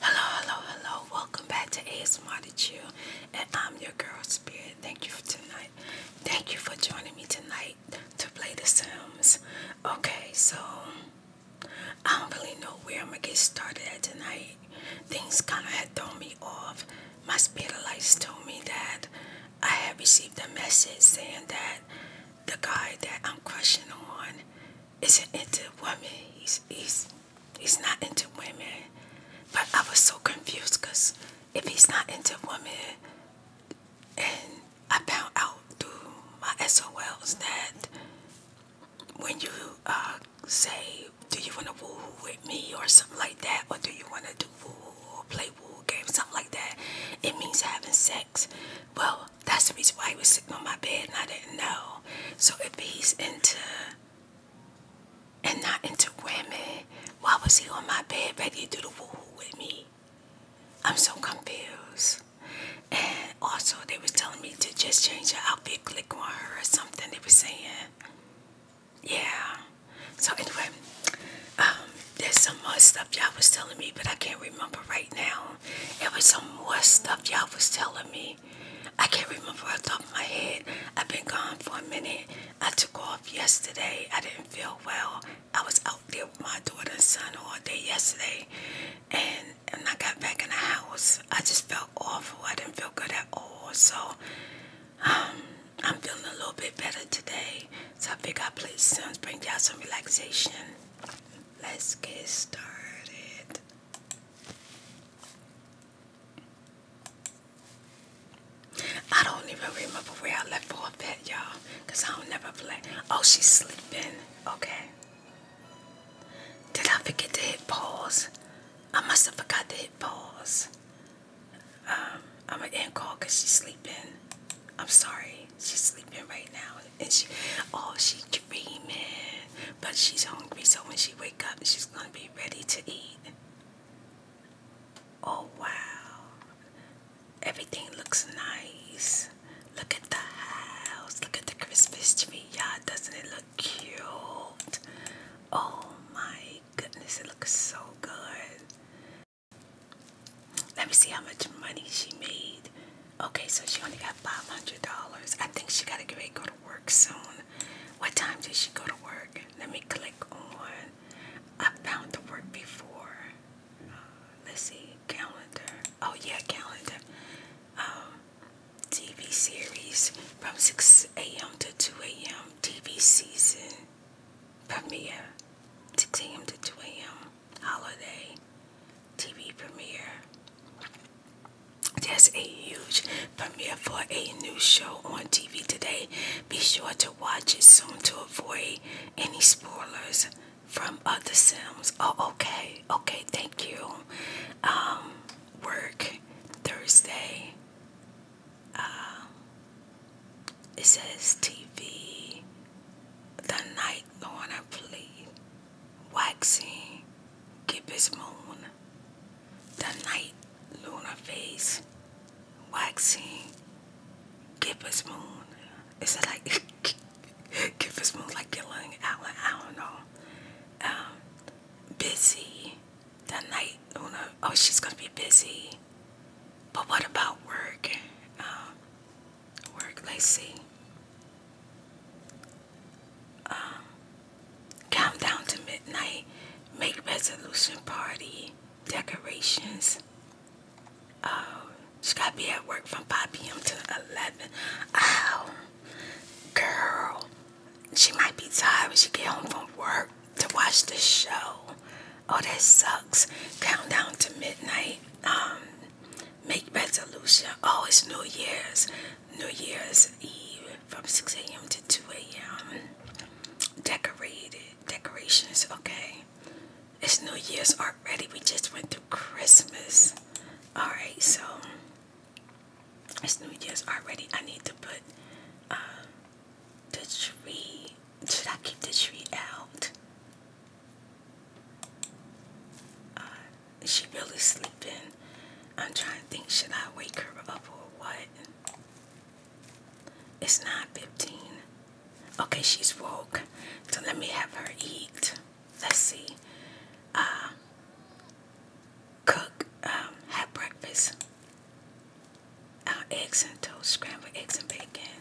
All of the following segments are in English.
Hello, hello, hello. Welcome back to ASMR to Chill. And I'm your girl, Spirit. Thank you for tonight. Thank you for joining me tonight to play The Sims. Okay, so I don't really know where I'm going to get started at tonight. Things kind of had thrown me off. My spirit lights told me that I had received a message saying that the guy that I'm crushing on is into women. He's he's he's not into women. But I was so confused because if he's not into women, and I found out through my SOLs that when you uh, say, "Do you want to woo -hoo with me?" or something like that, or "Do you want to do woo -hoo or play woo -hoo game?" something like that, it means having sex. Well, that's the reason why he was sitting on my bed and I didn't know. So if he's into and not into women, why was he on my bed ready to do the woo with me? I'm so confused. And also they was telling me to just change your outfit, click on her or something they was saying. Yeah. So anyway, um, there's some more stuff y'all was telling me, but I can't remember right now. It was some more stuff y'all was telling me. I can't remember off the top of my head. I've been gone for a minute. I took off yesterday. I didn't feel well. I was out there with my daughter and son all day yesterday. And when I got back in the house, I just felt awful. I didn't feel good at all. So um, I'm feeling a little bit better today. So I figured I would play Sims, bring y'all some relaxation. Let's get started. I don't even remember where I left off at, y'all, I don't never play. Oh, she's sleeping. Okay. Did I forget to hit pause? I must have forgot to hit pause. Um, I'm an end call because she's sleeping. I'm sorry. She's sleeping right now. And she, oh, she dreaming, but she's hungry. So when she wake up, she's gonna be ready to eat. Oh wow! Everything looks nice. Look at the house. Look at the Christmas tree, Yeah, Doesn't it look cute? Oh my goodness, it looks so good. Let me see how much money she made. Okay, so she only got five hundred dollars. I think she gotta get ready to go to work soon. What time does she go to work? Let me click on. I found the work before. Uh, let's see, calendar. Oh yeah, calendar. Um, TV series from six a.m. to two a.m. TV season premiere. Six a.m. to two a.m. Holiday. TV premiere. There's a huge premiere for a new show on TV today. Be sure to watch it soon to avoid any spoilers from other Sims. Oh, okay. Okay, thank you. Um, work Thursday. Uh, it says TV. The night Lorna played waxing Cupid's moon, the night lunar phase, waxing Cupid's moon. Is it like Cupid's moon like getting out? I don't know. Um, busy, the night lunar. Oh, she's gonna be busy. But what about work? Um, work. Let's see um, down to midnight, make resolution party, decorations. Um, she gotta be at work from 5 p.m. to 11. Ow, girl, she might be tired when she get home from work to watch the show. Oh, that sucks. down to midnight. Um, make resolution. Oh, it's New Year's. New Year's Eve from 6 a.m. to 2 a.m. Decorated decorations, okay. It's New Year's already. We just went through Christmas. Alright, so it's New Year's already. I need to put um, the tree. Should I keep the tree out? Uh, is she really sleeping? I'm trying to think, should I wake her up or what? It's not 15. Okay, she's woke. So let me have her eat. Let's see. Uh, cook, um, have breakfast. Uh, eggs and toast, scrambled eggs and bacon.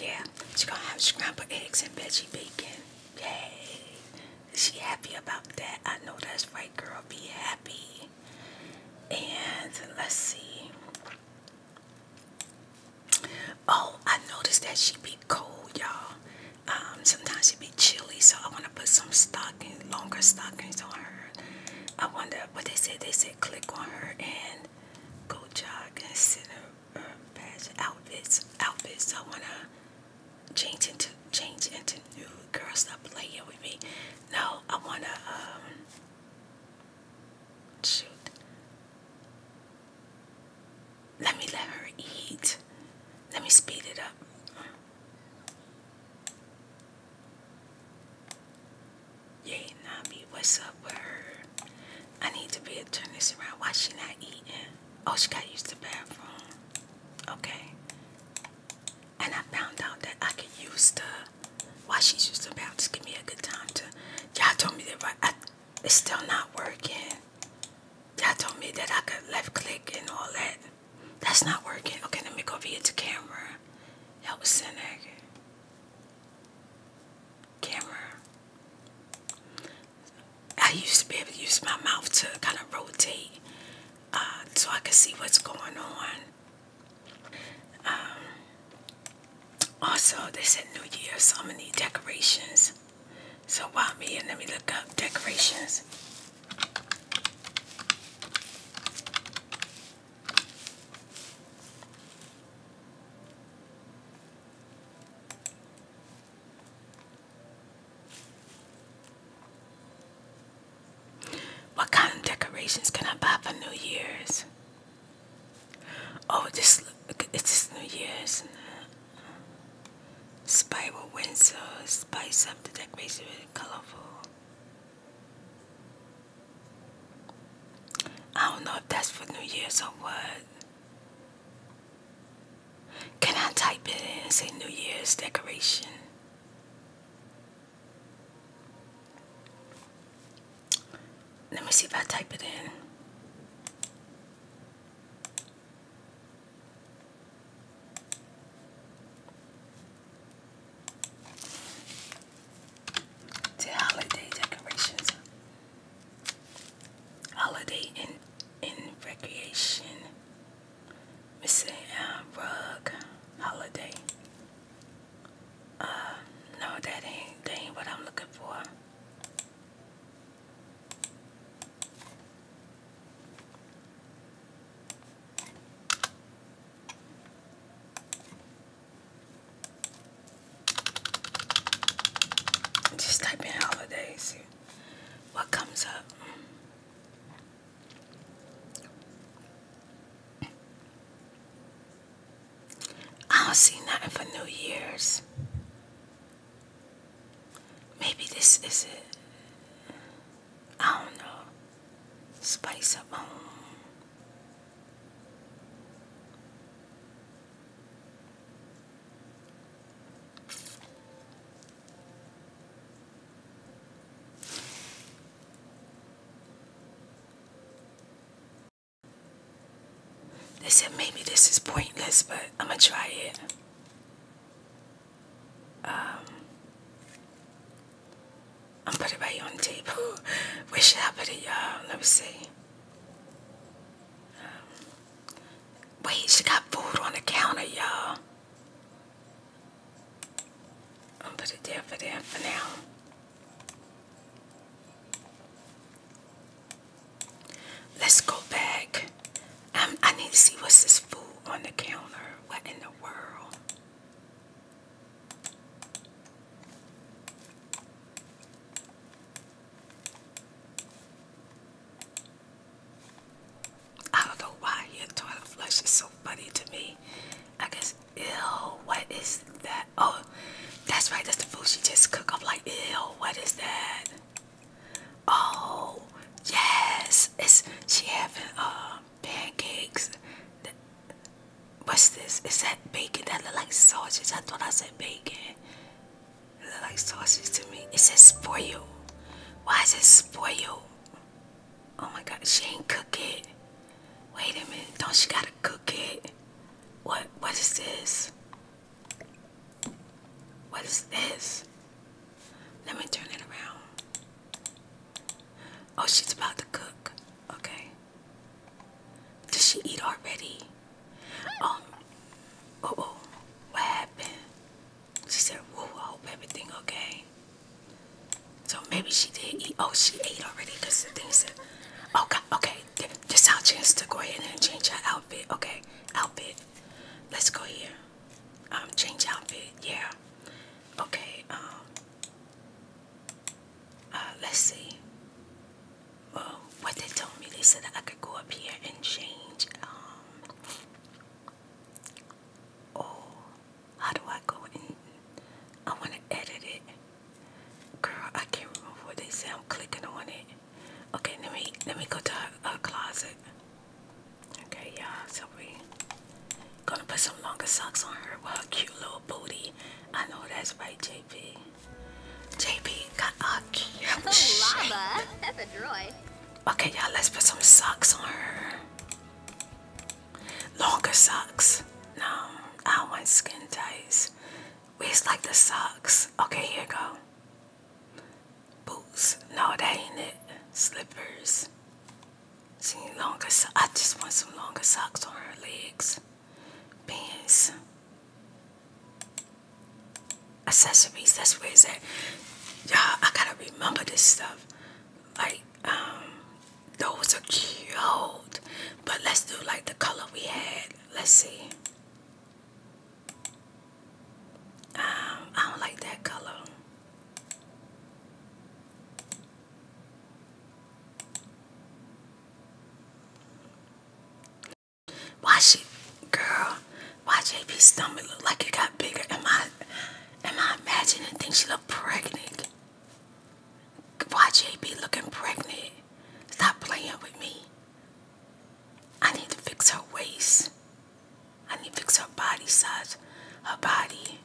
Yeah, she's gonna have scrambled eggs and veggie bacon. Yay! Is she happy about that? I know that's right, girl. Be happy. And let's see. Oh, I noticed that she be cold, y'all. Um, sometimes she be chilly, so I want to put some stockings, longer stockings on her. I wonder what they said. They said click on her and go jog and sit her fashion outfits. Outfits. I wanna change into change into new girl. Stop playing with me. No, I wanna um shoot. Let me let her eat. Let me speed it up. Yay, Nabi, what's up with her? I need to be able this around. Why she not eating? Oh, she got used to the bathroom. Okay. And I found out that I could use the why she's just about to give me a good time to. Y'all told me that right, I, it's still not working. Y'all told me that I could left click and all that. That's not working. Okay, let me go via the camera. Help Cynic. Camera. I used to be able to use my mouth to kind of rotate uh, so I could see what's going on. Um, also, they said New Year, so I'm going to need decorations. So while I'm here, let me look up decorations. What kind of decorations can I buy for New Year's? Oh, this it's New Year's. Spiral Windsor, spice something the decoration with really colorful. I don't know if that's for New Year's or what. Can I type it in say New Year's decoration? Let me see if I type it in. To holiday decorations. Holiday and in recreation. Miss uh, Rug Holiday. Uh, no, that ain't that ain't what I'm looking for. Just type in holidays what comes up. I don't see nothing for New Year's. Maybe this is it. I don't know. Spice up home. They said maybe this is pointless, but I'm gonna try it. Um, I'm put it on table. Where should I put it, you Let me see. Um, Wait, she got food on the counter, y'all. i am gonna put it there for there for now. Let's go back. Um, I need to see what's this food on the counter. What in the world? I don't know why your toilet flush is so funny to me. I guess, ew, what is that? Oh, that's right, that's the food she just cooked. I'm like, ew, what is that? Oh, yes, it's she having uh, pancakes. What's this? Is that bacon that look like sausage? I thought I said bacon. Look like sausage to me. It says spoil. Why is it spoil? Oh my god, she ain't cook it. Wait a minute, don't she gotta cook it? What what is this? What is this? Let me turn it around. Oh, she's about to cook. Okay. Does she eat already? Um, oh, oh, what happened? She said, whoa, I hope everything okay. So maybe she did eat. Oh, she ate already because the thing said, oh, okay, okay, this our chance to go ahead and change our outfit. Okay, outfit. Let's go here. Um, change outfit. Yeah. Okay. Um. Uh, let's see what they told me, they said I could go up here and change. Um, oh, how do I go in? I want to edit it. Girl, I can't remember what they said. I'm clicking on it. Okay, let me let me go to her, closet. Okay, you So we gonna put some longer socks on her cute little booty. I know that's right, JP. JP got a cute Okay, y'all, let's put some socks on her. Longer socks. No, I want skin ties. We just like the socks. Okay, here go. Boots. No, that ain't it. Slippers. See, longer socks. I just want some longer socks on her legs. Pants accessories. That's where it's at. Y'all, I gotta remember this stuff. Like, um, those are cute. But let's do like the color we had. Let's see. Um, I don't like that color. Why she, girl? Why JP's stomach look like it got bigger? Am I, am I imagining things she look pregnant? Why JP looking pregnant? Stop playing with me. I need to fix her waist. I need to fix her body size. Her body.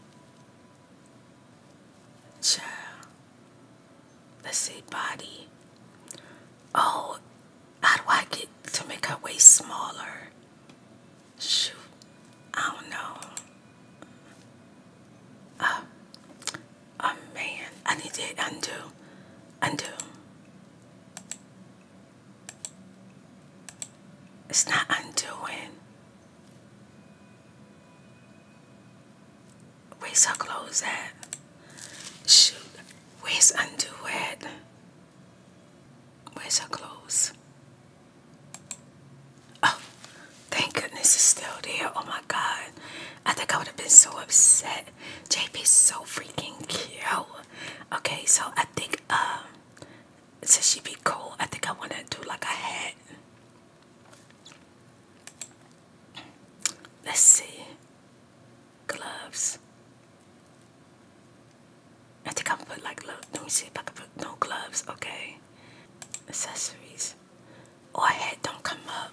Child. Let's say body. Oh, how do I get to make her waist smaller? Shoot, I don't know. Uh, oh man, I need to undo, undo. It's not undoing. Where's her clothes at? Shoot, where's underwear? Where's her clothes? Oh, thank goodness it's still there. Oh my god. I think I would have been so upset. is so freaking cute. Okay, so I think um since she would be cold, I think I wanna do like a hat. Let's see. Gloves. I think I'm put like let me see I put no gloves, okay. Accessories. oh, head don't come up.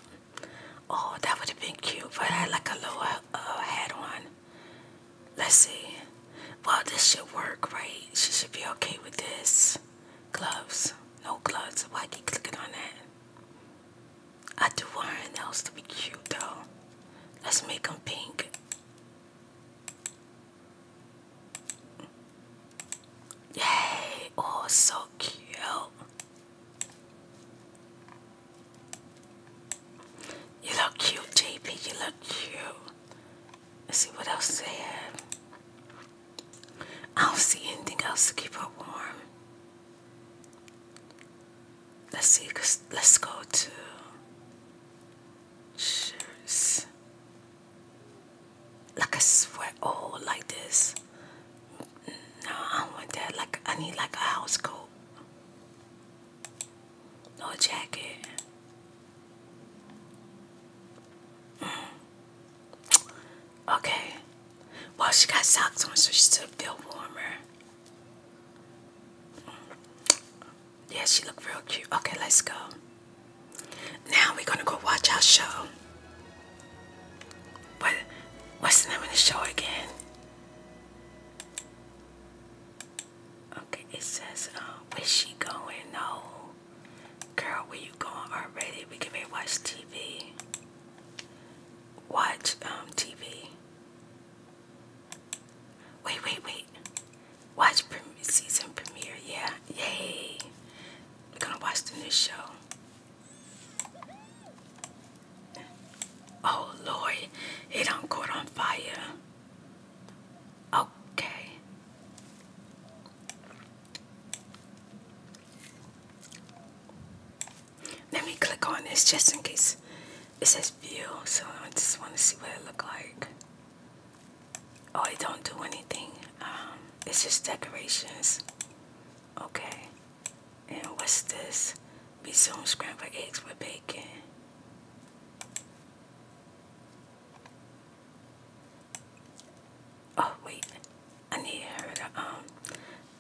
Oh, that would have been cute, but I had like a lower uh, head on. Let's see. Well, this should work, right? She should be okay with this. Gloves. No gloves. Why I keep clicking on that? I do want her nails to be cute though. Let's make them pink. Yay! Oh, so cute. You look cute, JP. You look cute. Let's see what else they I don't see anything else to keep her warm let's see let's go to shirts like a sweat oh like this no I don't want that like I need like a house coat no jacket mm. okay well she got socks on so she still feel warmer yeah, she look real cute. Okay, let's go. Now we're gonna go watch our show. What what's the name of the show again? Okay, it says uh, Where she going? No. Girl, where you going already? We can not watch TV. Watch um, TV. Wait, wait, wait. Watch pre season premiere. Yeah, yay. We're gonna watch the new show. Oh Lord, it do caught on fire. Okay. Let me click on this just in case. It says view, so I just want to see what it look like. Oh, I don't do anything. Um, it's just decorations. Okay. And what's this? Resume scrambled eggs with bacon. Oh wait, I need her to um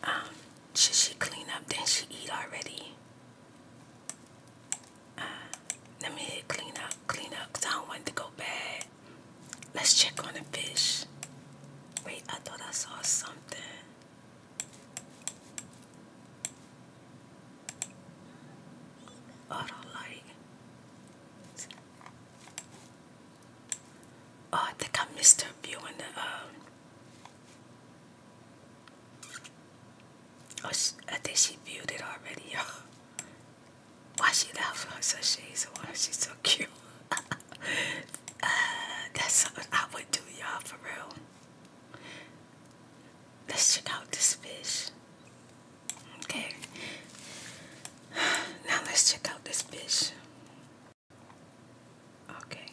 um, should she clean up? did she eat already? Uh, let me hit clean up, clean up, because I don't want to go bad. Let's check on the fish. Wait, I thought I saw something. Auto light. Oh, I think I missed her viewing the um, Oh, I think she viewed it already, y'all. Why she laughing on her shades She's so cute. uh, that's something I would do, y'all, for real. Let's check out this fish. Okay. Now let's check out this fish. Okay.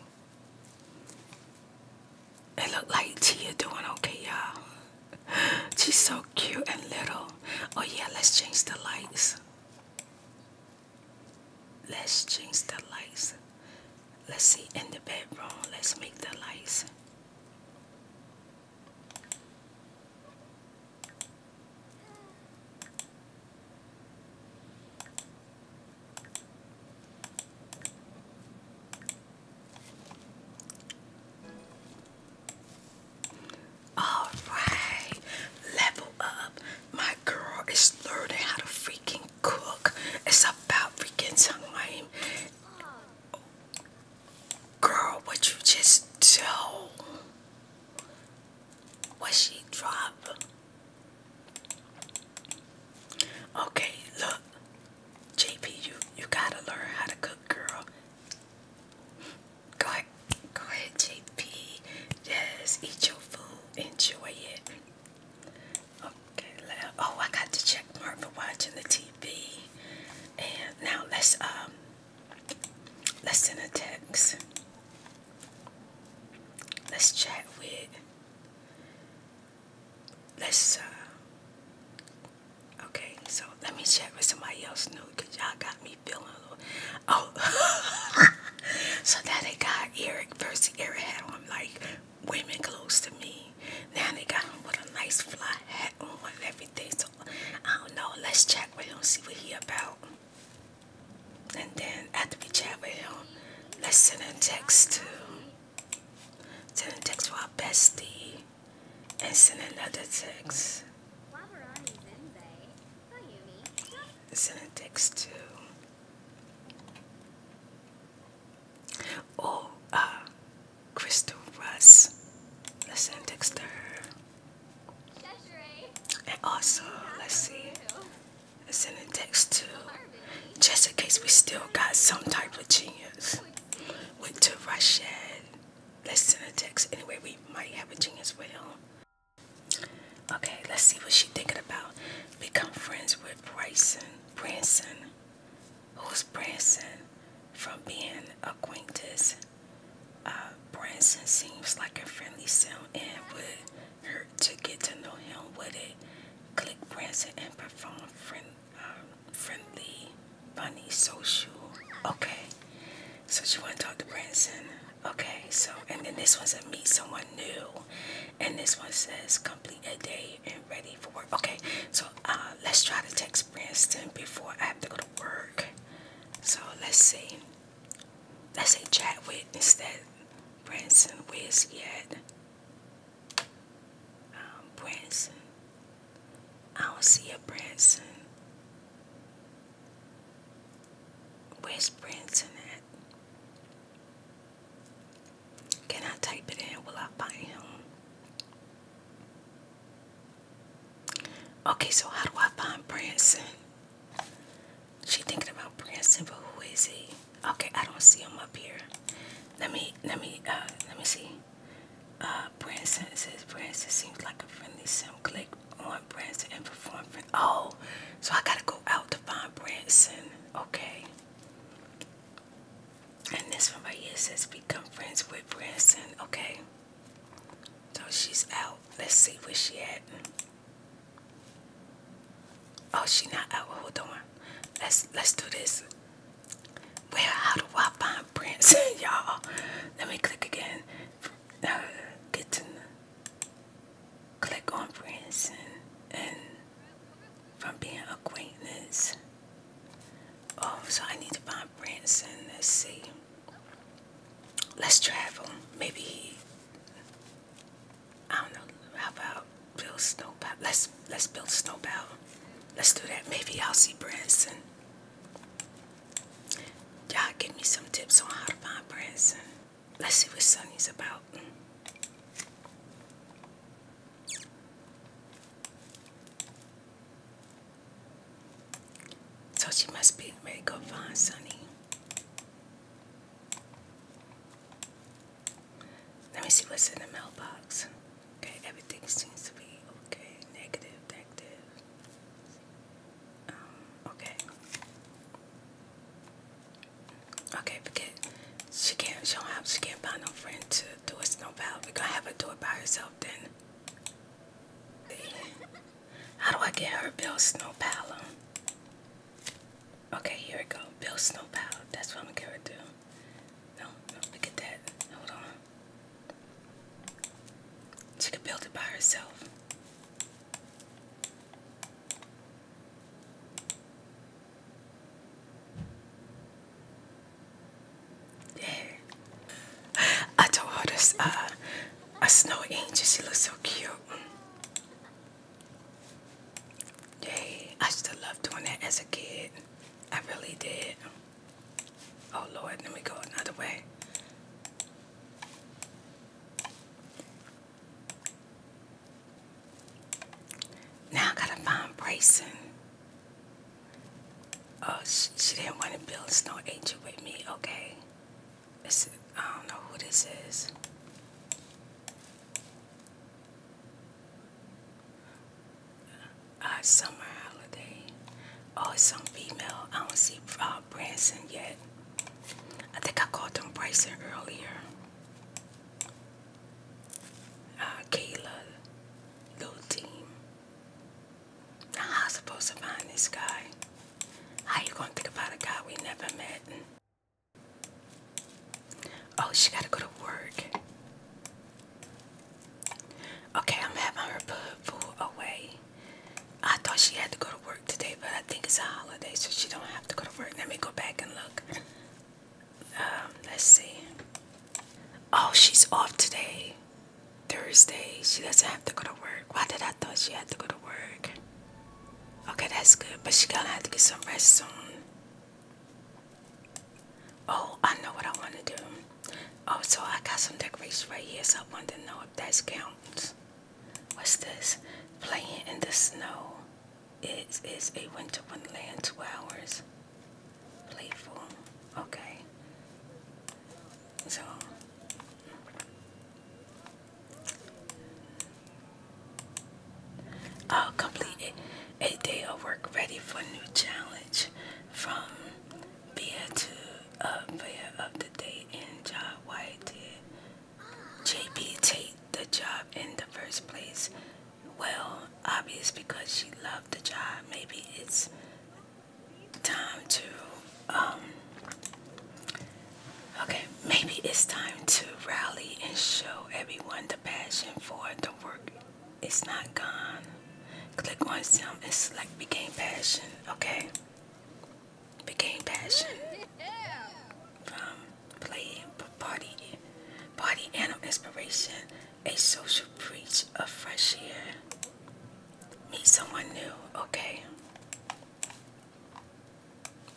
It looked like Tia doing okay, y'all. She's so cute and little. Oh yeah, let's change the lights. Let's change the lights. Let's see in the bedroom. Let's make the lights. All right, level up. My girl is learning how to freaking cook. It's about freaking time. Girl, what you just do? What she drop? Okay, look, JP, you you gotta learn how to cook, girl. Go ahead, go ahead, JP. Yes, eat your food, enjoy it. Okay, oh, I got the check mark for watching the TV. And now let's um let's send a text. Let's chat with let's uh okay so let me check with somebody else new because y'all got me feeling a little oh so now they got Eric versus Eric had on like women close to me now they got him with a nice flat hat on and everything so I don't know let's check we don't see what he about and then after we chat with him, let's send a text to send a text to our bestie and send another text. Send a text to Oh uh Crystal Russ. Let's send a text to her. And also let's see send a text to just in case we still got some type of genius. Went to Russia. Let's send a text. Anyway, we might have a genius with him. Okay, let's see what she's thinking about. Become friends with Bryson. Branson. Who's Branson? From being acquaintances. Uh, Branson seems like a friendly sound and with her to get to know him with it. Click Branson and perform friend, um, friendly, funny, social. Okay, so she want to talk to Branson. Okay, so and then this one says meet someone new, and this one says complete a day and ready for work. Okay, so uh, let's try to text Branson before I have to go to work. So let's see. Let's say chat with instead. Branson, with yet. Um, Branson. I don't see a Branson. Where's Branson at? Can I type it in? Will I find him? Okay, so how do I find Branson? She thinking about Branson, but who is he? Okay, I don't see him up here. Let me let me uh let me see. Uh Branson says Branson seems like a friendly sim. Click on Branson and perform for Oh, so I gotta go out to find Branson. Okay. And this one right here says become friends with Branson. Okay. So she's out. Let's see where she at. Oh, she not out. Hold on. Let's let's do this. Where how do I find Branson, y'all? Let me click again. Uh, get to click on Branson and, from being acquaintance. Oh, so I need to find Branson. Let's see. Let's travel. Maybe I don't know. How about build snow Let's let's build snow battle. Let's do that. Maybe I'll see Branson. Y'all give me some tips on how to find Branson. Let's see what Sunny's about. So she must be ready to go find Sunny. Let me see what's in the mailbox. Okay, everything seems to be okay. Negative, negative. Um, okay. Okay, forget. She can't show up. She can't find no friend to do a snowball. We're gonna have her do it by herself then. How do I get her built snow pal? Okay, here we go. Bill Snowplow. That's what I'm gonna do. No, no, look at that. Hold on. She could build it by herself. Yeah. I told her this uh a snow angel, she looks so cute. Yay, I still love doing that as a kid. I really did. Oh Lord, let me go another way. Now I gotta find Brayson. Oh, she, didn't want to build a snow angel with me. Okay, I don't know who this is uh, summer holiday. Oh, it's some female. I don't see uh, Branson yet. I think I called him Branson earlier. Uh, Kayla, little team. how supposed to find this guy? How you gonna think about a guy we never met? Oh, she gotta go to work. Okay, I'm having her put away. I thought she had to go to work today, but I think it's a holiday, so she don't have to go to work. Let me go back and look. Um, let's see. Oh, she's off today. Thursday. She doesn't have to go to work. Why did I thought she had to go to work? Okay, that's good, but she gonna have to get some rest soon. Oh, I know what I want to do. Oh, so I got some decorations right here, so I want to know if that counts. What's this? Playing in the snow. It is a winter wonderland, two hours. Playful. Okay. So, I'll complete a day of work ready for new challenge from Bia to uh, of the Day In Job White did JP take the job in the first place? Well, obvious because she loved the job. Maybe it's time to um, Okay, maybe it's time to rally and show everyone the passion for the work. It's not gone. Click on some and select Became Passion. Okay, Became Passion from Play Party Party Animal Inspiration, a social breach of fresh air. Meet someone new. Okay,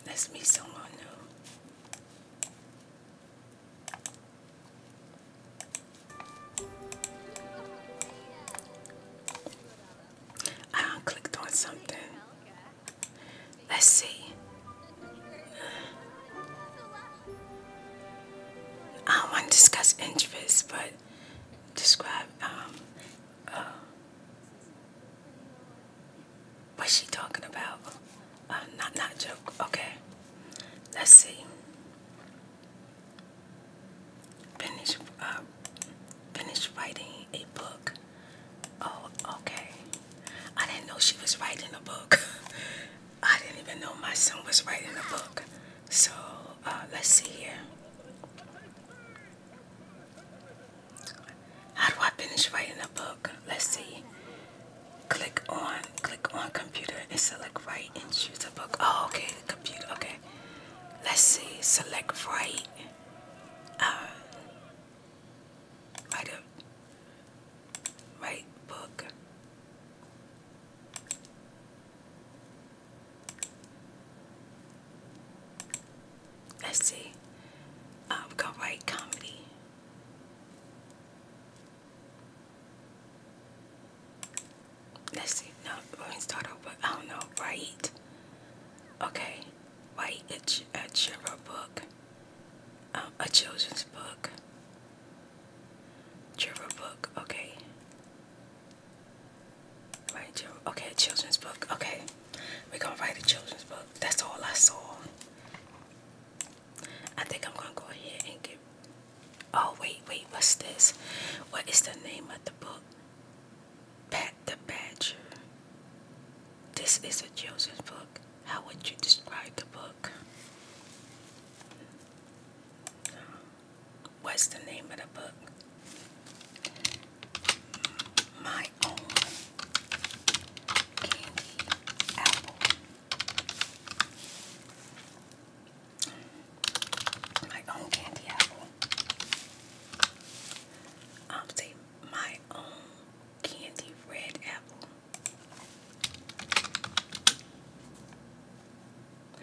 Let's meet someone new. I clicked on something. Let's see. I want to discuss interests, but describe um, uh, What's she talking about? Uh, not, not a joke. Okay. Let's see. Finish uh, finish writing a book. Oh, okay. I didn't know she was writing a book. I didn't even know my son was writing a book. So uh, let's see here. How do I finish writing a book? Let's see. Click on, click on computer and select write and choose a book. Oh, okay, computer, okay. Let's see, select write. Uh, write a, write book. Let's see. i have got going write comedy. Let's see. No, let me start over. I don't know. Right. Okay. Write a, children's book. Um, a children's book. Children's book. Okay. Right. Okay. A children's book. Okay. We're gonna write a children's book. That's all I saw. I think I'm gonna go ahead and get. Oh wait, wait, what's this? What is the name of the book? Pat the Badger. This is a children's book. How would you describe the book? What's the name of the book? My own candy apple. My own candy apple. I'll say my own candy red apple.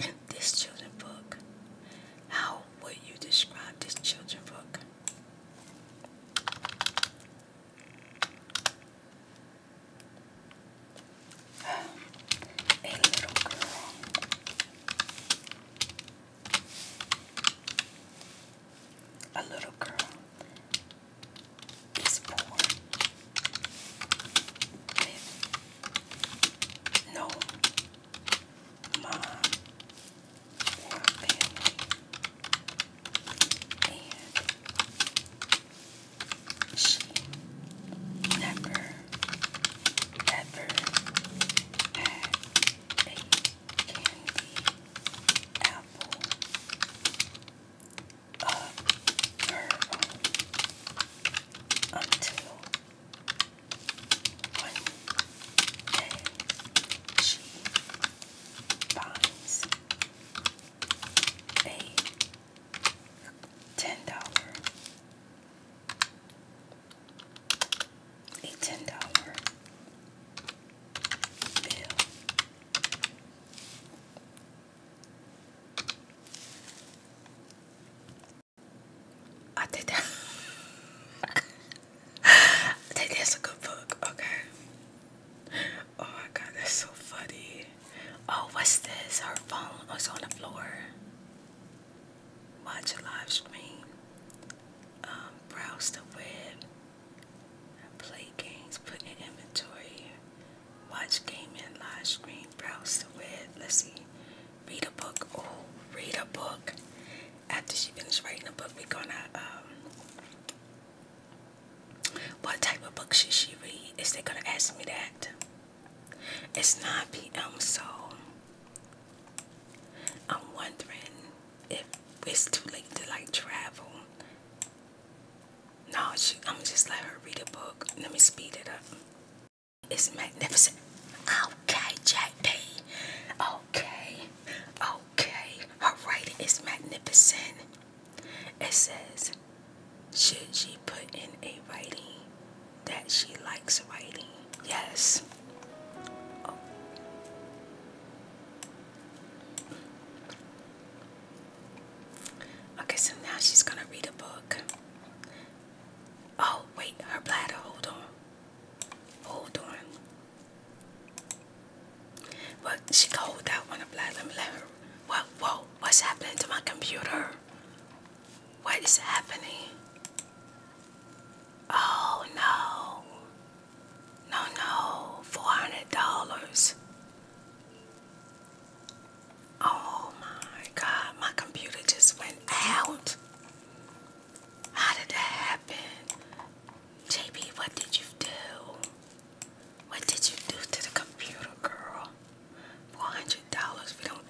this children book. How would you describe this children book? a little girl. A little girl is born with no mom for family, she never, ever had a candy apple of her own until one day she buys a dollar a ten dollar bill. I did that. that's a good book. Okay. Oh my god, that's so funny. Oh, what's this? Our phone was on the floor. Watch a live stream. Um, browse the web. Play games. Put in inventory. Watch gaming live stream. Browse the web. Let's see. Read a book. Oh, read a book after she finishes writing a book, we're gonna um, what type of book should she read? Is they gonna ask me that? It's 9 p.m. so I'm wondering if it's too late to like travel. No, she, I'm just let her read a book. Let me speed it up. It's magnificent. Okay, JP. Okay. Oh, Okay, her writing is magnificent. It says, should she put in a writing that she likes writing? Yes. Oh. Okay, so now she's gonna read a book. Oh, wait, her bladder, hold on. Hold on. Well, she called out on the black. Let What? Whoa! What's happening to my computer? What is happening? Oh no! No no! Four hundred dollars. Oh my God! My computer just went out. How did that happen? JB, what did you do? What did you do to the computer, girl? Four hundred dollars. We don't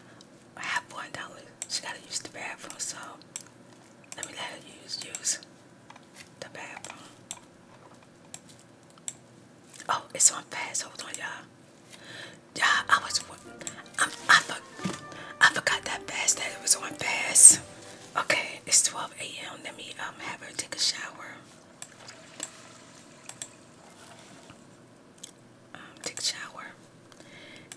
have one dollar. She gotta use the bathroom, so let me let her use use the bathroom. Oh, it's on fast. Hold on, y'all. Y'all, I was. i I, I forgot that fast that it was on fast. Okay, it's 12 a.m. Let me um have her take a shower. Um, take shower.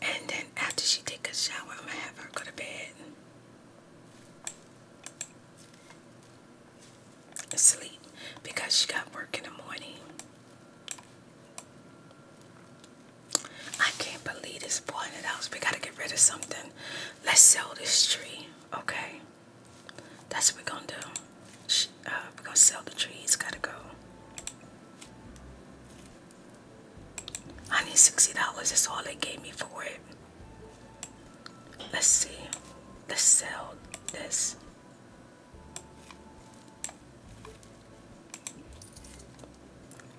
And then after she take a shower, I'm gonna have her go to bed. sleep because she got work in the morning. I can't believe this boy in the house. We gotta get rid of something let's sell this tree, okay? That's what we're gonna do. Uh, we're gonna sell the trees. gotta go. I need sixty dollars. That's all they gave me for it. Let's see. Let's sell this.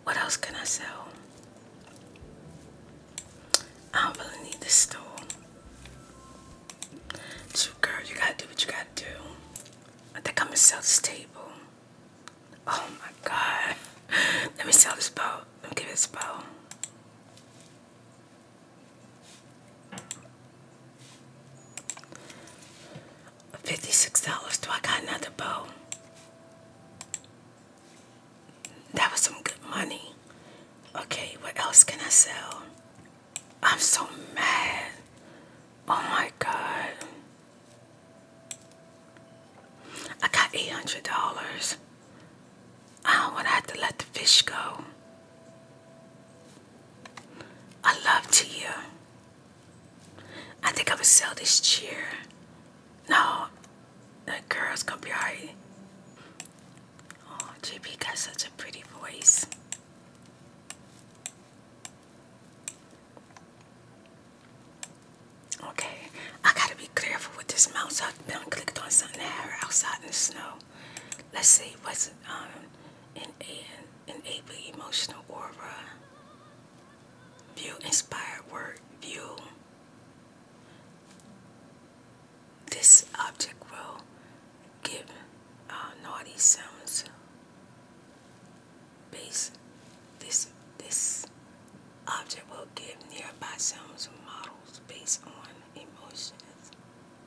What else can I sell? I don't really need this stool. So girl, you gotta do what you gotta do. I think I'm gonna sell this table. Oh my god. Let me sell this bow. Let me give this bow. $56. Do I got another bow? that was some good money. Okay, what else can I sell? I'm so mad. Oh my god. I got $800. I don't want to have to let the fish go. I love Tia. I think I would sell this chair no, that girl's gonna be alright. Oh, JP got such a pretty voice. Okay, I gotta be careful with this mouse. I've been clicked on something there outside in the snow. Let's see what's um in an enable emotional aura. View inspired work. View this object will give uh, naughty sounds. Base this this object will give nearby sounds models based on emotions.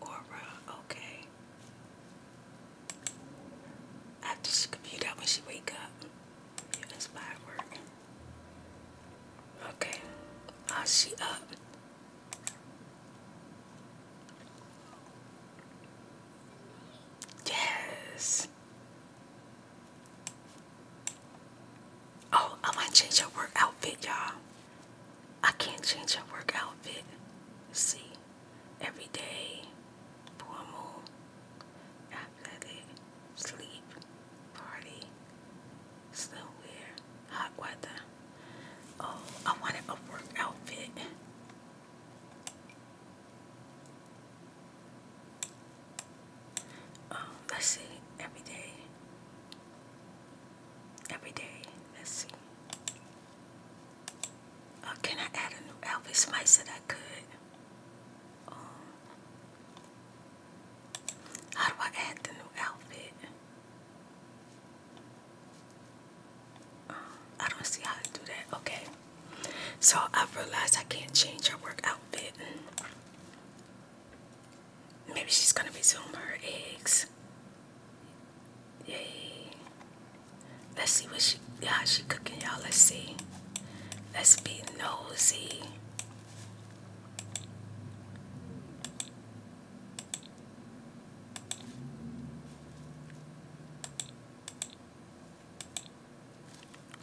Aura, okay. After she could that when she wake up, you inspire work. Okay, now she up. Yes. Oh, I might change your work outfit, y'all. I can't change your work outfit. See, every day, full moon athletic, sleep, party, slow hot weather. Oh, I wanted a work outfit. Um, let's see, every day. Every day, let's see. Uh, can I add a new outfit? Somebody said I could. Um, how do I add the new outfit? I don't see how to do that. Okay. So I realized I can't change her work outfit. Maybe she's gonna resume her eggs. Yay. Let's see what she how she cooking, y'all. Let's see. Let's be nosy.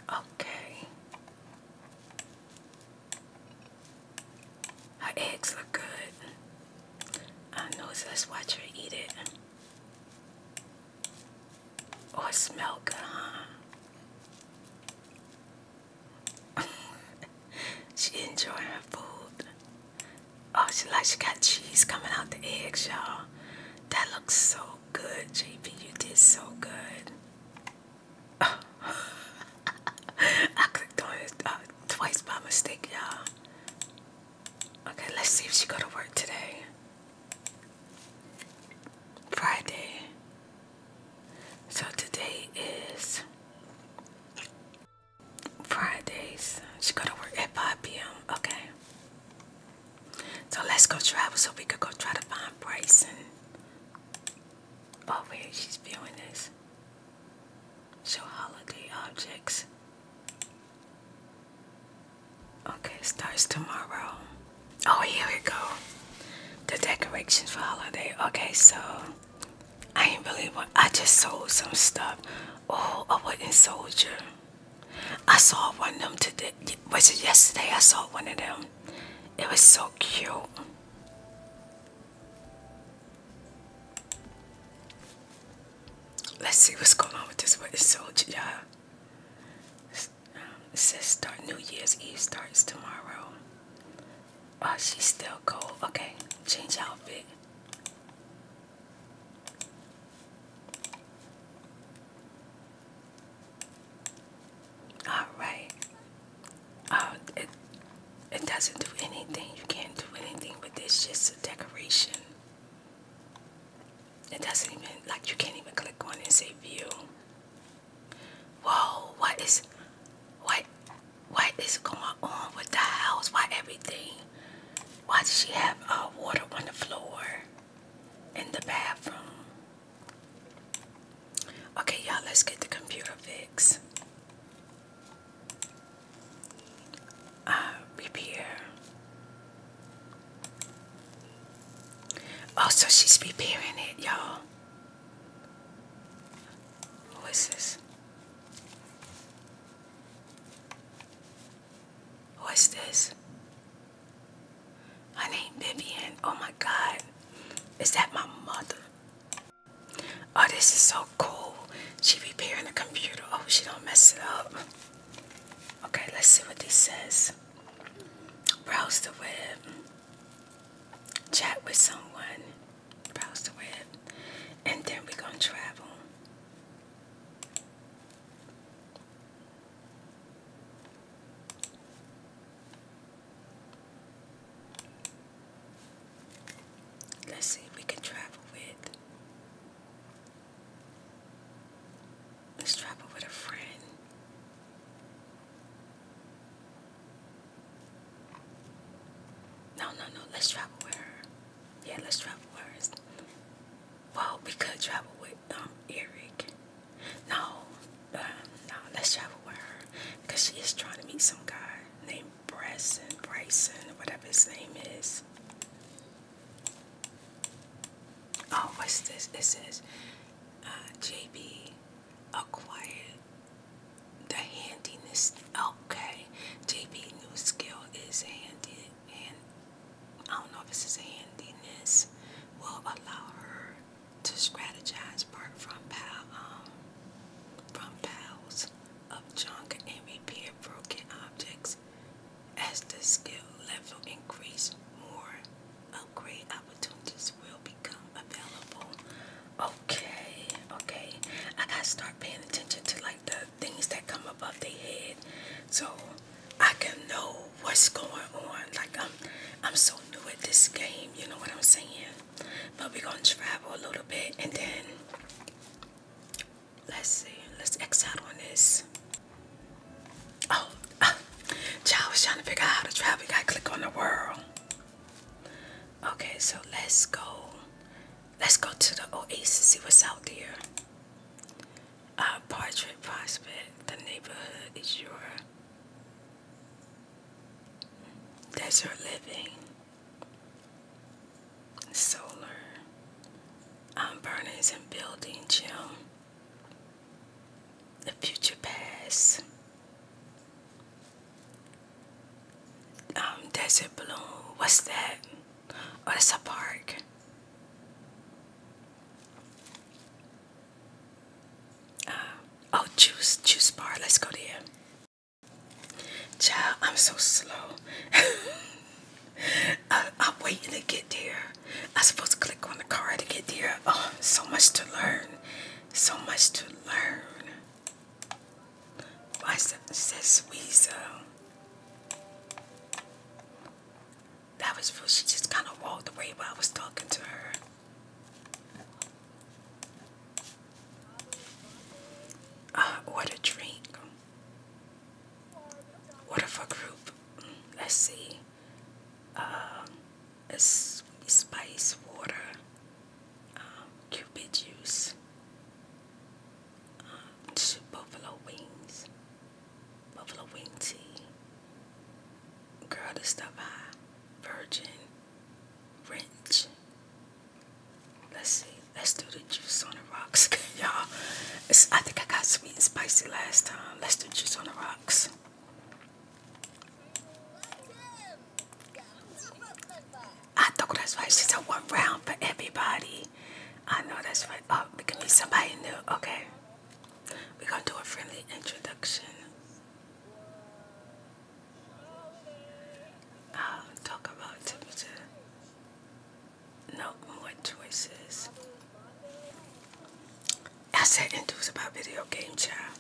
Okay. Her eggs look good. I know, so let's watch her eat it. or oh, smell good, huh? she enjoying her food. Oh, she like she got cheese coming out the eggs, y'all. That looks so good, JP. You did so good. I clicked on it uh, twice by mistake, y'all. Okay, let's see if she go to work today. Friday. So today is Fridays. She got to work at 5 p.m. Okay. So let's go travel so we could go try to find Bryson. Oh wait, she's viewing this. Show holiday objects. Okay, starts tomorrow. Oh, here we go. The decorations for holiday. Okay, so I ain't really want. I just sold some stuff. Oh, a wooden soldier. I saw one of them today. Was it yesterday? I saw one of them. It was so cute. Let's see what's going on with this wooden soldier, y'all. It says start New Year's Eve starts tomorrow. Oh, she's still cold. Okay, change outfit. All right. Um, it it doesn't do anything. You can't do anything with this. Just a decoration. It doesn't even like you can't even click on it and say view. Whoa, what is what what is going on with the house? Why everything? Why does she have uh, water on the floor in the bathroom? Okay, y'all, let's get the computer fixed. Uh, repair. Oh, so she's repairing it, y'all. Who is this? Who is this? My name Vivian. Oh my God. Is that my mother? Oh, this is so cool. She repairing the computer. Oh, she don't mess it up. Okay, let's see what this says. Browse the web chat with someone, browse the web, and then we going to travel. Let's see if we can travel with. Let's travel with a friend. No, no, no. Let's travel with her. Yeah, let's travel with her. Well, we could travel with um Eric. No, um, no. Let's travel with her because she is trying to meet some guy named Bryson, Bryson, whatever his name is. Oh, what's this? It says uh, JB acquired the handiness. Okay, JB new skill is handy, and I don't know if this is a handiness. Will allow her to strategize apart from pal, um, from piles of junk and repair broken objects. As the skill level increase more upgrade opportunities will become available. Okay, okay. I gotta start paying attention to like the things that come above the head so I can know what's going on. Like I'm I'm so new at this game, you know what I'm saying? But we're gonna travel a little bit and then let's see, let's X on this. Oh, ah, child was trying to figure out how to travel. You click on the world. Okay, so let's go. Let's go to the oasis, see what's out there. Uh, Prospect, the neighborhood is your desert living. Solar, um, burnings and building, gym the future pass. Um, desert balloon. What's that? Oh, it's a park. Uh, oh, juice, juice bar. Let's go there. Child, I'm so slow. I, am waiting to get there. I'm supposed to click on the car to get there. Oh, so much to learn so much to learn. Why says Weasel? That was rude. She just kind of walked away while I was talking to her. Uh, ah, order drink. Order for group. Mm, let's see. Um, spicy water, um, cupid juice, um, buffalo wings, buffalo wing tea. Girl, this stuff high, virgin, wrench. Let's see. Let's do the juice on the rocks, y'all. I think I got sweet and spicy last time. Let's do juice on the rocks. I know that's right. she's a one round for everybody. I know that's right. Oh, we can meet somebody new. Okay. We're going to do a friendly introduction. I'll uh, talk about temperature. No more choices. I said, and about video game, child.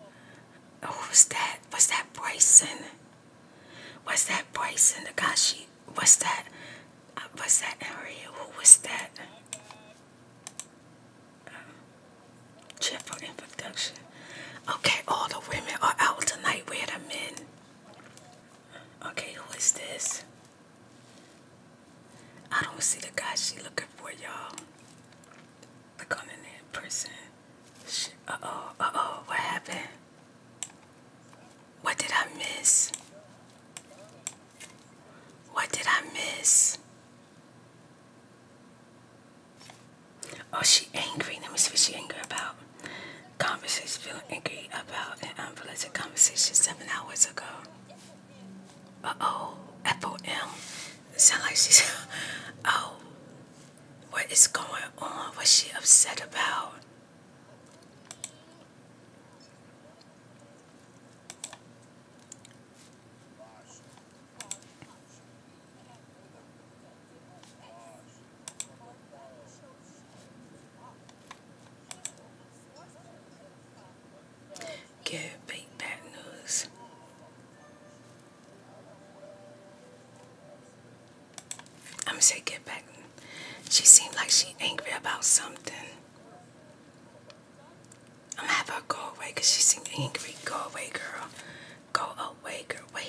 Oh, uh, who was that? Was that Bryson? Was that Bryson? The guy she was that? was that Harriet? Who was that? Uh, cheerful introduction. Okay, all the women are out tonight. Where the men? Okay, who is this? I don't see the guy she looking for, y'all. Look on in there, person. Uh oh, uh oh, what happened? What did I miss? What did I miss? Oh, she angry. Let me see what she angry about. Conversation feeling angry about an unpleasant conversation seven hours ago. Uh-oh. F-O-M. Sound like she's... oh. What is going on? What's she upset about? Gary Big Bad News. I'm gonna say get back. She seemed like she angry about something. I'm gonna have her go away because she seemed angry. Go away, girl. Go away, girl. Wait.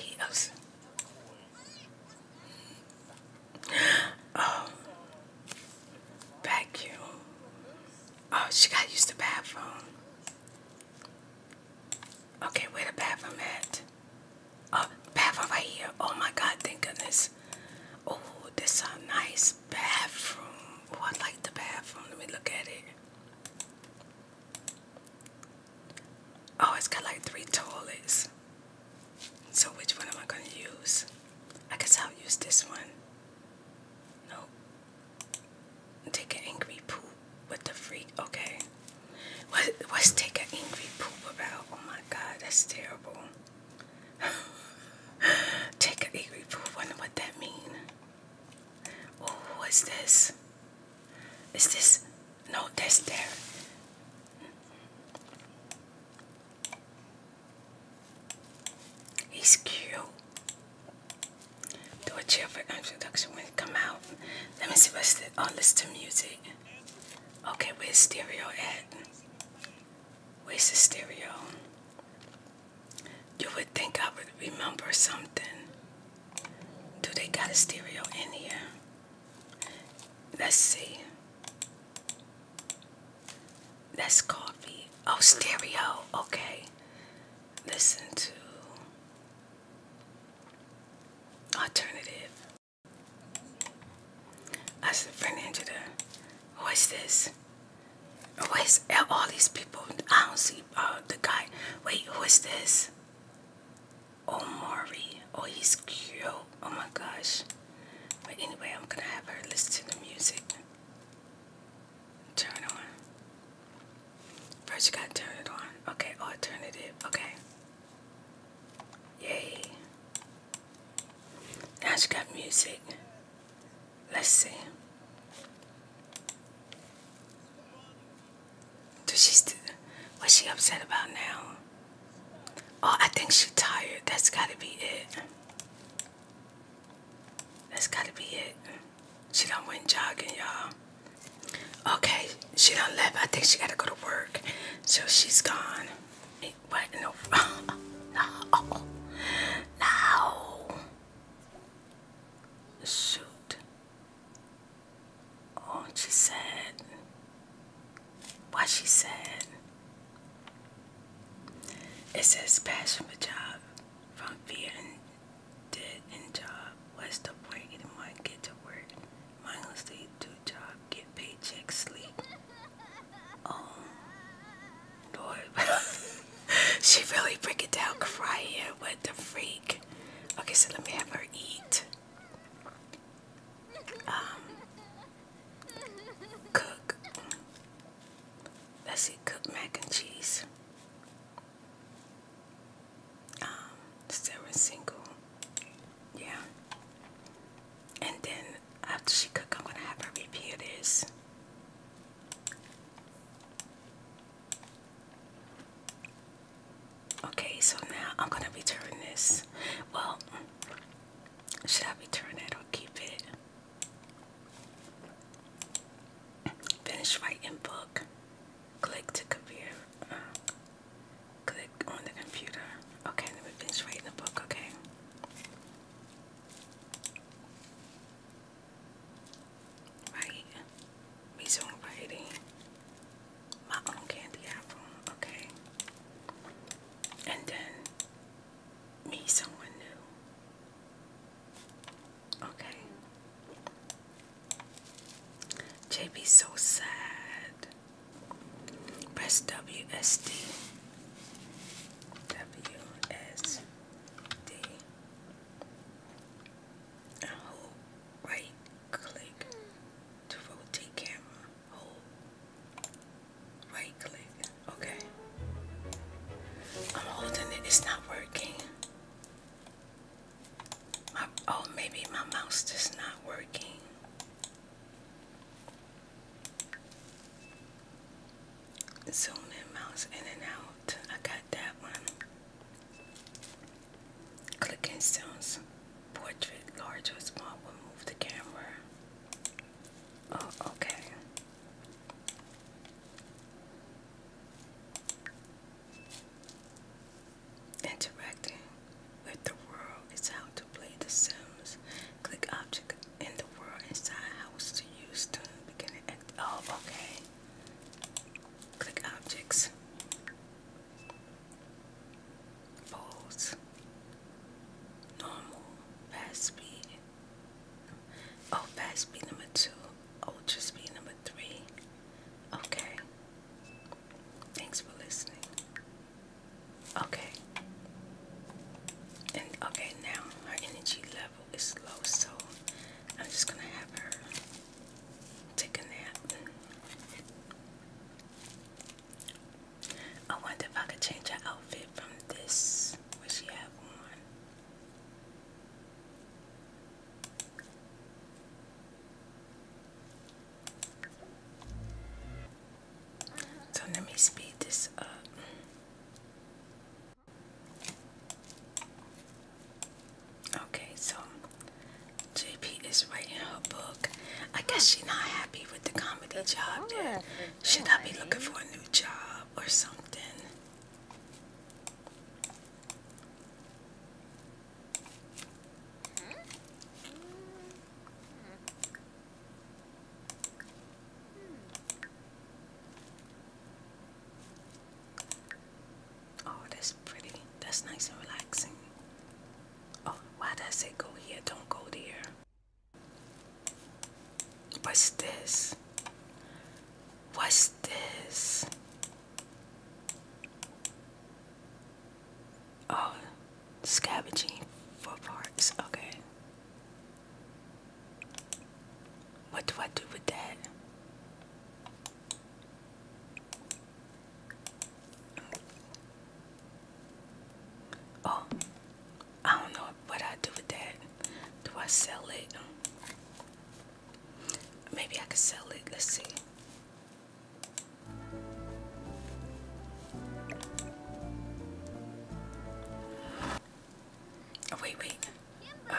Oh, Vacuum. Oh, she got used to the bathroom. Okay, where the bathroom at? Oh, bathroom right here. Oh my God, thank goodness. Oh, this is a nice bathroom. Oh, I like the bathroom. Let me look at it. Oh, it's got like three toilets. So which one am I going to use? I guess I'll use this one. Nope. Take an angry poop. What the freak? Okay. What, what's take an angry poop about? Oh my god, that's terrible. take an angry poop. Wonder what that mean. Oh, what's this? Is this? No, this. there. He's cute. Do a cheerful introduction when you come out. Let me see what's the oh listen to music. Okay, where's stereo at? Where's the stereo? You would think I would remember something. Do they got a stereo in here? Let's see. That's coffee. Oh, stereo. Okay. Listen to alternative. I said, Fernandita, who is this? Who is all these people? I don't see uh, the guy. Wait, who is this? Oh, Omari. Oh, he's cute. Oh my gosh. But anyway, I'm gonna have her listen to the music. Turn it on. First you gotta turn it on. Okay, alternative. Okay. Yay. Now she got music. Let's see. what's she upset about now? Oh, I think she's tired. That's gotta be it. That's gotta be it. She done went jogging, y'all. Okay, she done left. I think she gotta go to work. So she's gone. Wait, what? No. no. No. Shoot. Oh, she said. Why she said. It says passion for job from fear and dead in job. What's the point? Get money, get to work. Mindlessly do job, get paycheck, sleep. Oh, Lord. she really break it down crying. What the freak? Okay, so let me have her eat. Um, cook let's see, cooked mac and cheese. Um, Sarah single. Yeah. And then after she cook, I'm gonna have her repair this. Okay, so now I'm gonna return this. Well, should I return it or keep it? Finish writing book. Click to computer. Uh, click on the computer. Okay, let me finish writing the book, okay? Right. Resume writing. My own candy apple, okay? And then need someone new. Okay. JB so sad. Press WSD. hold right click to rotate camera. Hold Right click. Okay. I'm holding it. It's not working. My, oh, maybe my mouse is not working. Zoom in, mouse in and out. I got that one. Clicking sounds. Portrait, large or small will move the camera. Oh, okay. Interacting with the world is how to play The Sims. Click object in the world inside house to use to begin and oh okay. Click objects. Balls. Normal. Fast speed. Oh, fast speed number two, oh, ultra speed number three. Okay. Thanks for listening. Okay. And okay, now her energy level is low, so I'm just gonna have her take a nap. I wonder if I could change her outfit from this so let me speed this up. Okay, so JP is writing her book. I guess she's not happy with the comedy job. Then oh, should I be looking for a new job? or something. Oh, that's pretty. That's nice and relaxing. Oh, why does it go here? Don't go there. What's this? What's this? Oh, scavenging for parts. Okay. What do I do with that? Oh, I don't know what I do with that. Do I sell it? Maybe I could sell it. Let's see. Oh, wait, wait. Uh,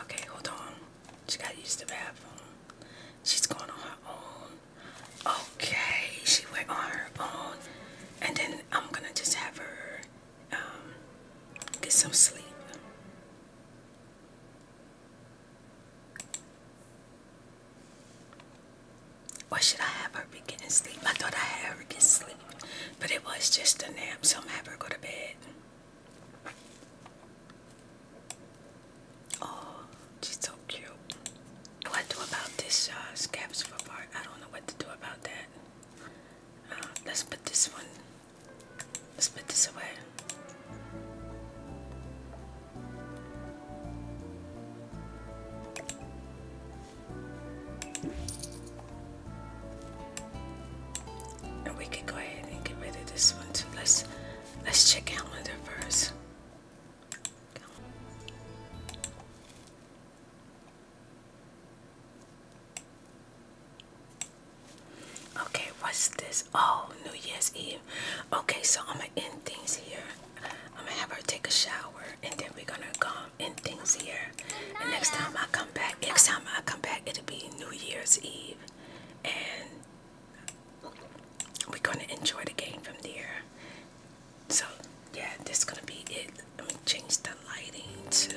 okay, hold on. She gotta use the She's going on her own. Okay, she went on her own. And then I'm gonna just have her um, get some sleep. Why should I have her begin getting sleep? I thought I had her get sleep, but it was just a nap, so I'm gonna have her go to bed. Oh, she's so cute. What do about this uh, scabs for part? I don't know what to do about that let's put this one. Let's put this away. And we could go ahead and get rid of this one too. Let's let's check out calendar first. Okay, what's this? Oh, New Year's Eve. Okay, so I'm gonna end things here. I'm gonna have her take a shower and then we're gonna come end things here. And next time I come back, next time I come back, it'll be New Year's Eve. And we're gonna enjoy the game from there. So yeah, this is gonna be it. Let me change the lighting to.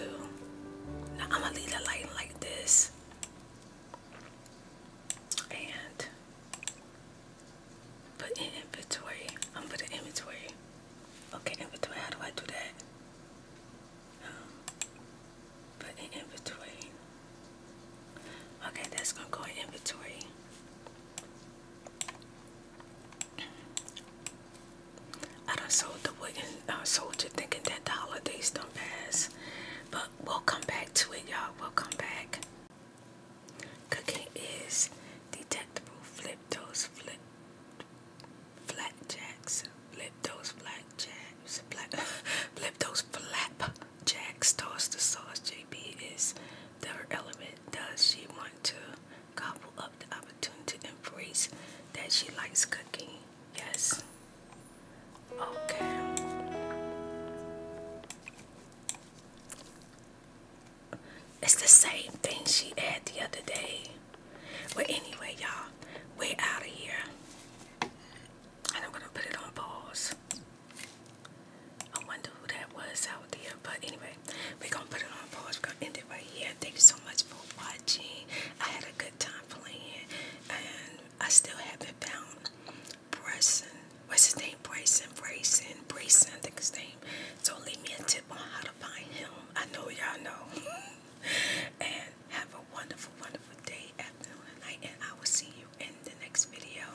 Now I'm gonna leave the lighting like this. And put in inventory. I'm put in inventory. Okay, inventory. How do I do that? Um, put in inventory. Okay, that's gonna go in inventory. I sold the wooden uh, soldier thinking that the holidays don't pass. But we'll come back to it, y'all. We'll come back. Cooking is detectable. Flip those flip flat jacks. Flip those flat jacks. flip those jacks. Toss the sauce. JB is the element. Does she want to gobble up the opportunity to embrace that she likes cooking. Yes. Okay. It's the same thing she had the other day. But anyway, y'all, we're out of here. And I'm going to put it on pause. I wonder who that was out there. But anyway, we're gonna put it on pause. We're gonna end it right here. Thank you so much for watching. I had a good time playing, and I still haven't found Bryson. What's his name? Bryson, Bryson, Bryson, I think his name. So leave me a tip on how to find him. I know y'all know. and have a wonderful, wonderful day, afternoon, and night, and I will see you in the next video.